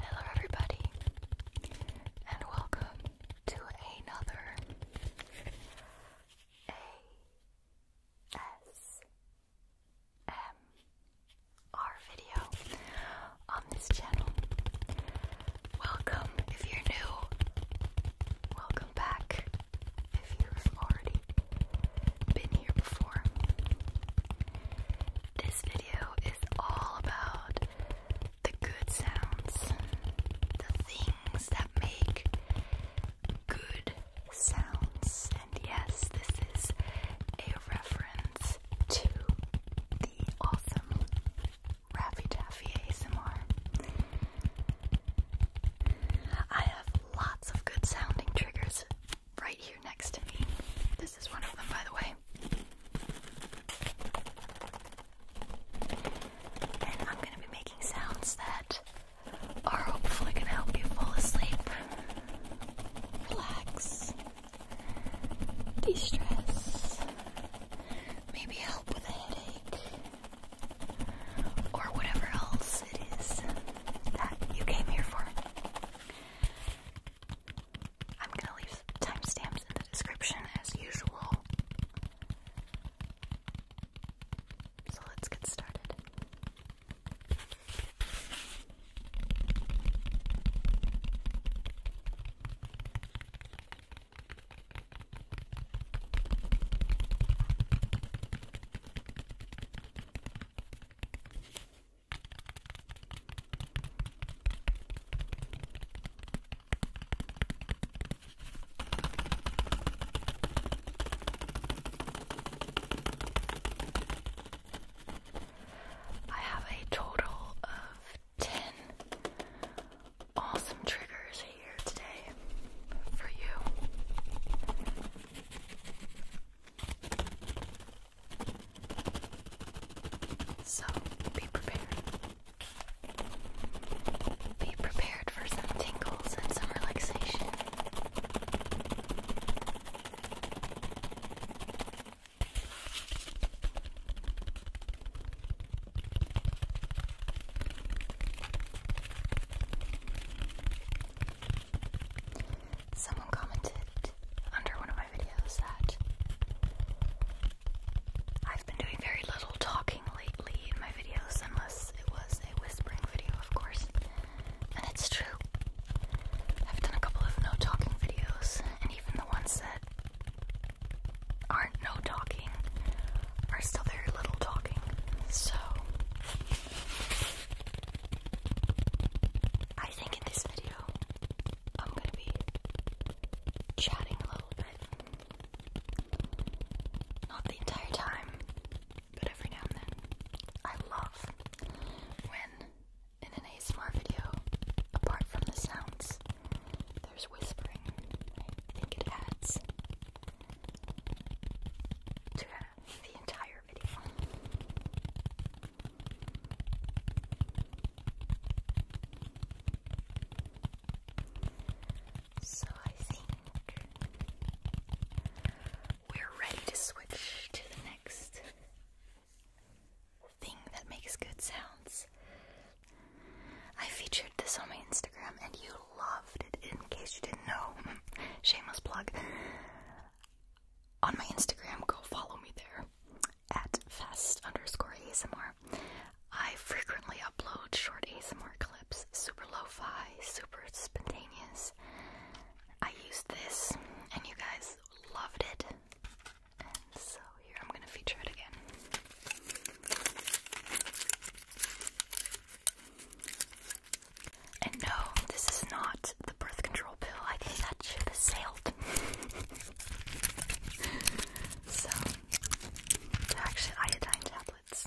Hello, everybody, and welcome to another ASMR video on this channel. Welcome if you're new, welcome back if you have already been here before. This video is all about the good sounds, the things that make good sounds. And yes, this is a reference to the awesome Raffy Taffy ASMR. I have lots of good sounding triggers right here next to me. This is one of them, by the way. And I'm going to be making sounds that are hopefully going to help you fall asleep, relax, de stress, maybe help with a headache, or whatever else it is that you came here for. I'm gonna leave timestamps in the description as usual. So let's get started. I have a total of 10 awesome triggers here today for you. So be prepared. Be prepared for some tingles and some relaxation. Someone commented under one of my videos that I've been doing very little talking lately in my videos, unless it was a whispering video, of course. And it's true. I've done a couple of no talking videos, and even the ones that aren't no talking are still very little talking. So, I think in this video I'm gonna be chatting a little bit. Not the entire time, but every now and then. I love when in an ASMR video, apart from the sounds, there's whispering. I think it adds to the entire video. So I think we're ready to switch to the next thing that makes good sounds. I featured this on my Instagram and you loved it. In case you didn't know, shameless plug. On my Instagram, go follow me there at fest underscore ASMR. I frequently upload short ASMR clips, super lo fi, super spontaneous. I used this and you guys loved it, so here I'm gonna feature it again. And no, this is not the birth control pill. I think that ship has sailed. so, actually iodine tablets.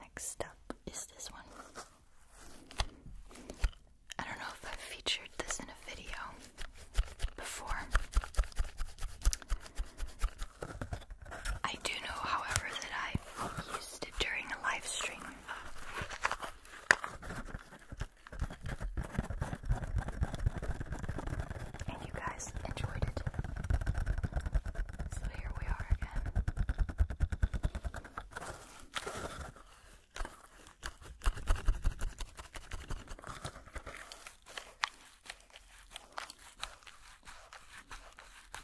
Next up is this one. I don't know if I've featured this in a video before. I do know, however, that I used during a live stream. And you guys enjoyed it. So here we are again.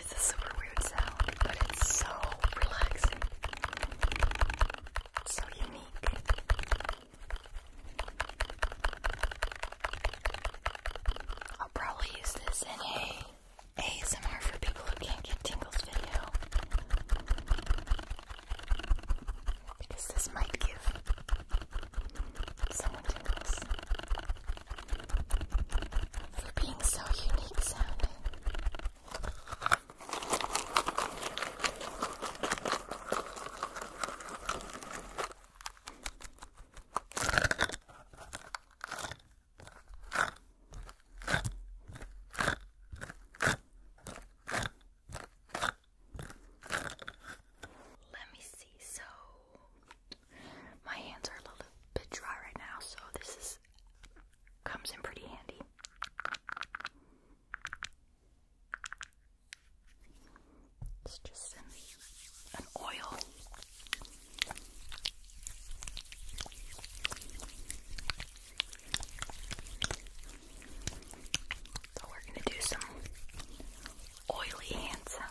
It's a super weird sound, but it's so relaxing. so unique. I'll probably use this in a a ASMR for people who can't get tingles video. Because this might give someone tingles. For being so unique sounding. Let me see. So, my hands are a little bit dry right now, so this is comes in pretty handy. It's just an, an oil. So we're going to do some oily hand sounds.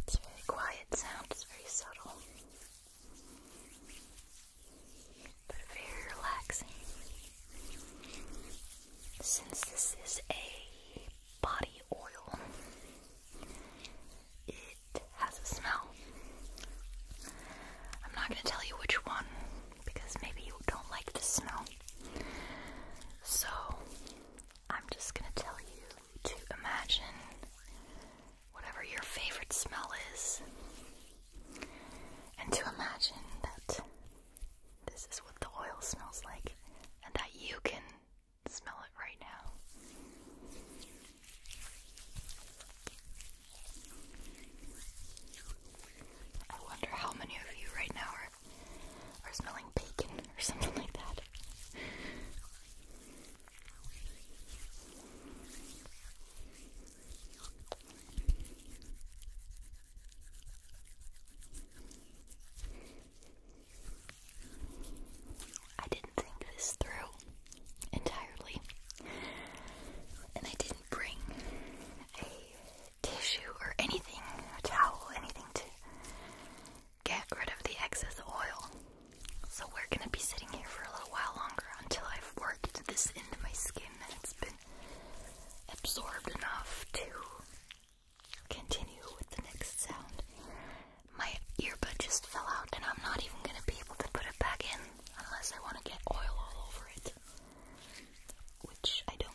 It's very quiet sound, it's very subtle, but very relaxing. Since this is a body oil, it has a smell. I'm not going to tell you which one because maybe you don't like the smell. So, I'm just gonna tell you to imagine whatever your favorite smell is and to imagine that this is what the oil smells like and that you can smell it right now. I wonder how many of you right now are or smelling bacon or something like that. I didn't think this through entirely, and I didn't bring a tissue or anything, a towel, anything to get rid of the excess oil. So we're gonna be sitting here for a little while longer until I've worked this into my skin and it's been absorbed enough to continue with the next sound. My earbud just fell out and I'm not even gonna be able to put it back in unless I wanna get oil all over it. Which I don't.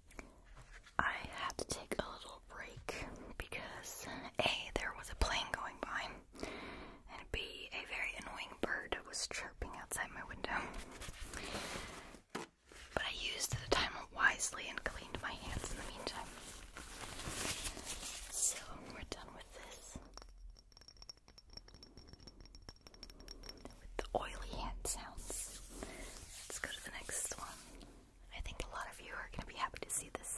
I had to take a little break because A, there was a plane going by, and B, a very annoying bird was chirping outside my window. But I used the time wisely and cleaned my hands in the meantime. So we're done with this with the oily hand sounds. Let's go to the next one. I think a lot of you are going to be happy to see this.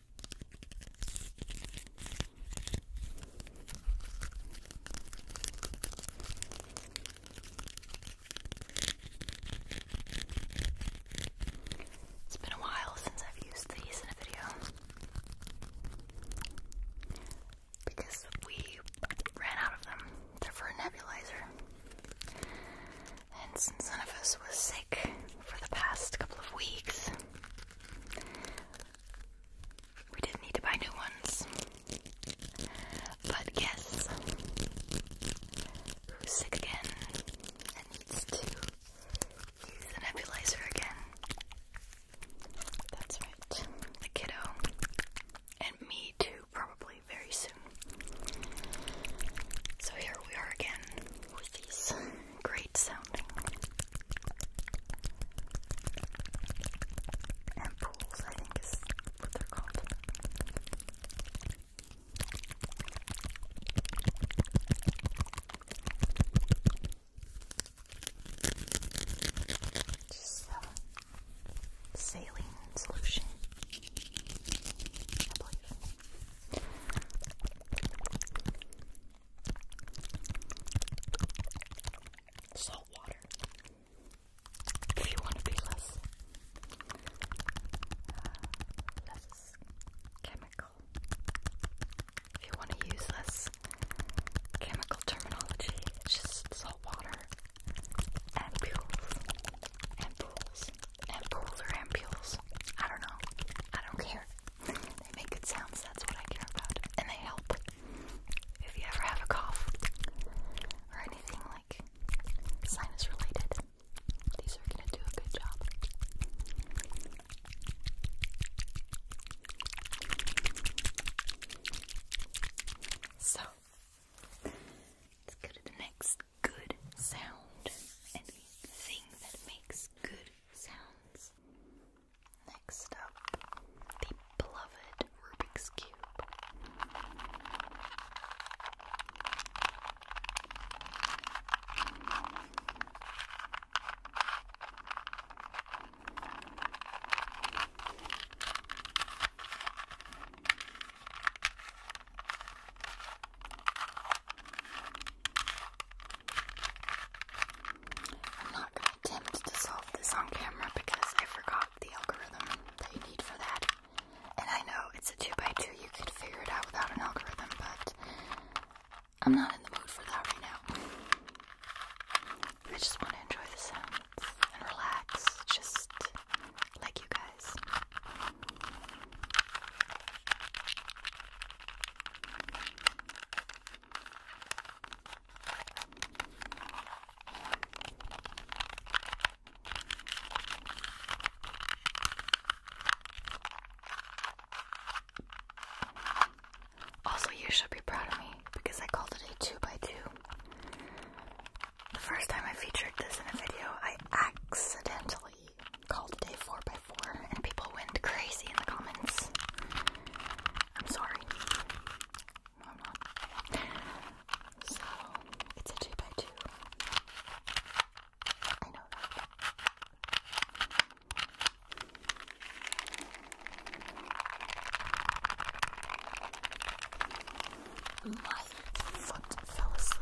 It's been a while since I've used these in a video because we ran out of them. They're for a nebulizer. And since none of us was sick for the past couple of weeks, we didn't need to buy new ones. But guess who's sick again and needs to use the nebulizer again? That's right, the kiddo. And me too, probably very soon. So here we are again with these great sounding. And I think, is what they're called. Just uh, saline solution, I believe. Salt water. If you want to be less, uh, less chemical. If you want to use less chemical terminology, it's just salt water, ampules, ampules, ampules or ampules. I don't know. I don't care. They make good sounds, that's what I care about. And they help. If you ever have a cough or anything like sinus related, these are gonna do a good job. So, let's go to the next good sound and that makes good sounds. Next up, the beloved Rubik's Cube. I'm not going to attempt to solve this on camera because I forgot the algorithm that you need for that. And I know it's a 2x2, 2 2 you could figure it out without an algorithm, but I'm not in the mood for that right now. I just want to enjoy the sounds and relax, just like you guys. Also, you should be proud of me because I called it a 2x2. 2 2 The first time I featured this in a video, I accidentally called day 4x4 and people went crazy in the comments. I'm sorry. So, it's a 2x2. 2 I know that. My foot fell asleep.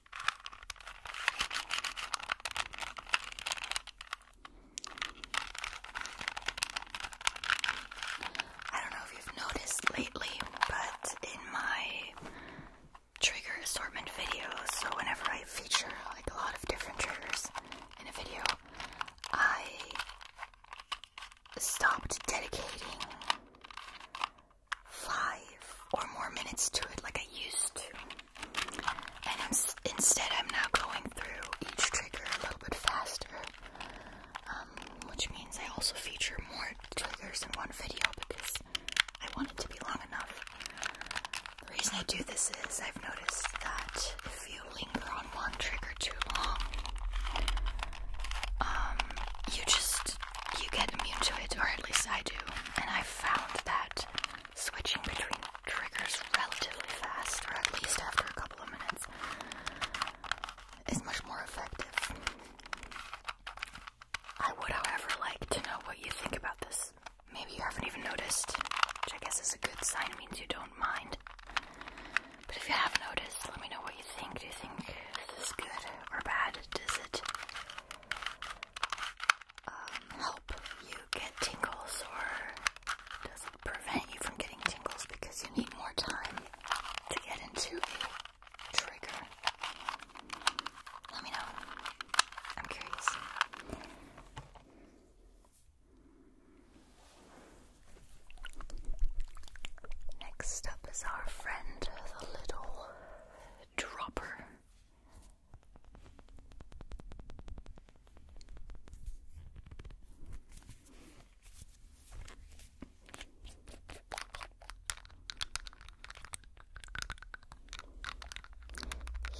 I don't know if you've noticed lately, but in my trigger assortment videos, so whenever I feature like a lot of different triggers in a video, I stopped dedicating five or more minutes to it like I used to. And instead, I'm now going through each trigger a little bit faster, um, which means I also feature more triggers in one video because I want it to be long enough. The reason I do this is I've noticed that if you linger on one trigger too long, um, you just you get immune to it, or at least I do. And I found that switching between triggers relatively fast, or at least after a couple of minutes, is much more effective. I would, however, like to know what you think about this. Maybe you haven't even noticed, which I guess is a good sign, means you don't mind. But if you have noticed, let me know what you think. Do you think this is good or bad? Does it um, help you get tingles or does it prevent you from getting tingles because you need more time to get into a trigger. Let me know. I'm curious. Next up is our friend, the little dropper.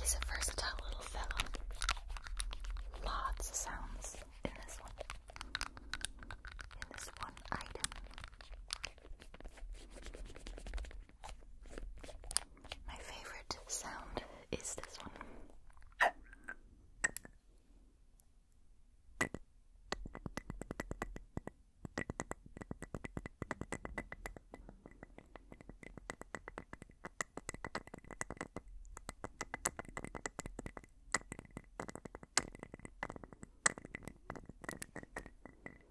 He's a versatile little fellow. Lots of sounds in this one. In this one item. My favorite sound is this one. The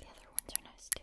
other ones are nice too.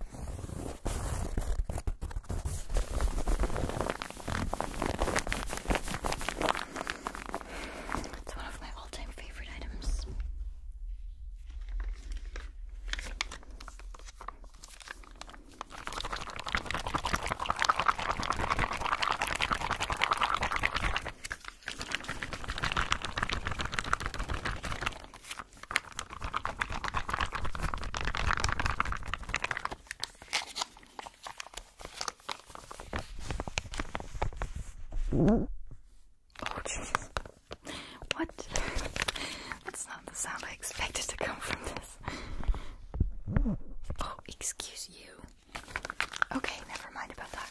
It's one of my all time favorite items. Oh, Jesus! What? That's not the sound I expected to come from this. Oh, excuse you. Okay, never mind about that.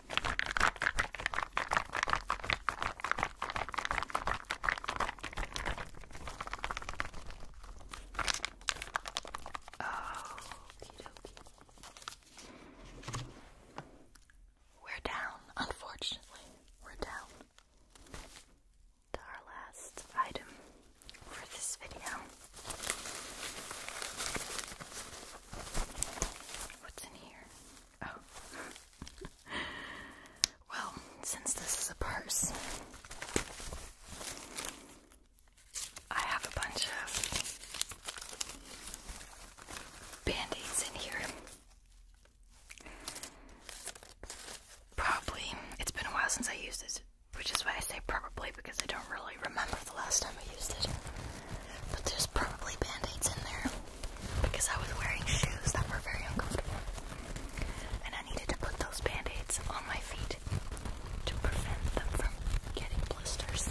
Oh, We're down, unfortunately. We're down to our last item for this video. What's in here? Oh. well, since this is a purse, I have a bunch of band aids in here. Probably, it's been a while since I used this, which is why I say probably because I don't really remember the last time I used it. But there's probably band-aids in there because I was wearing shoes that were very uncomfortable. And I needed to put those band-aids on my feet to prevent them from getting blisters.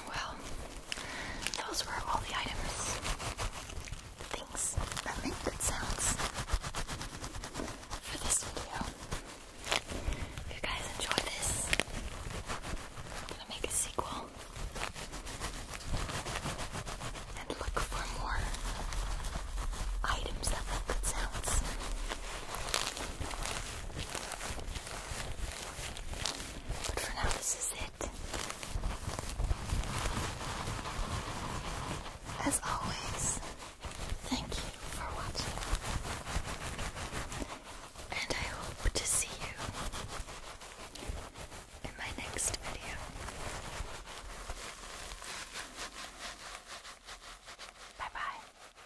Well, those were all the items, things that make good sounds for this video. If you guys enjoy this, I'm gonna make a sequel and look for more items that make good sounds. But for now, this is it. As always, thank you for watching. And I hope to see you in my next video. Bye bye.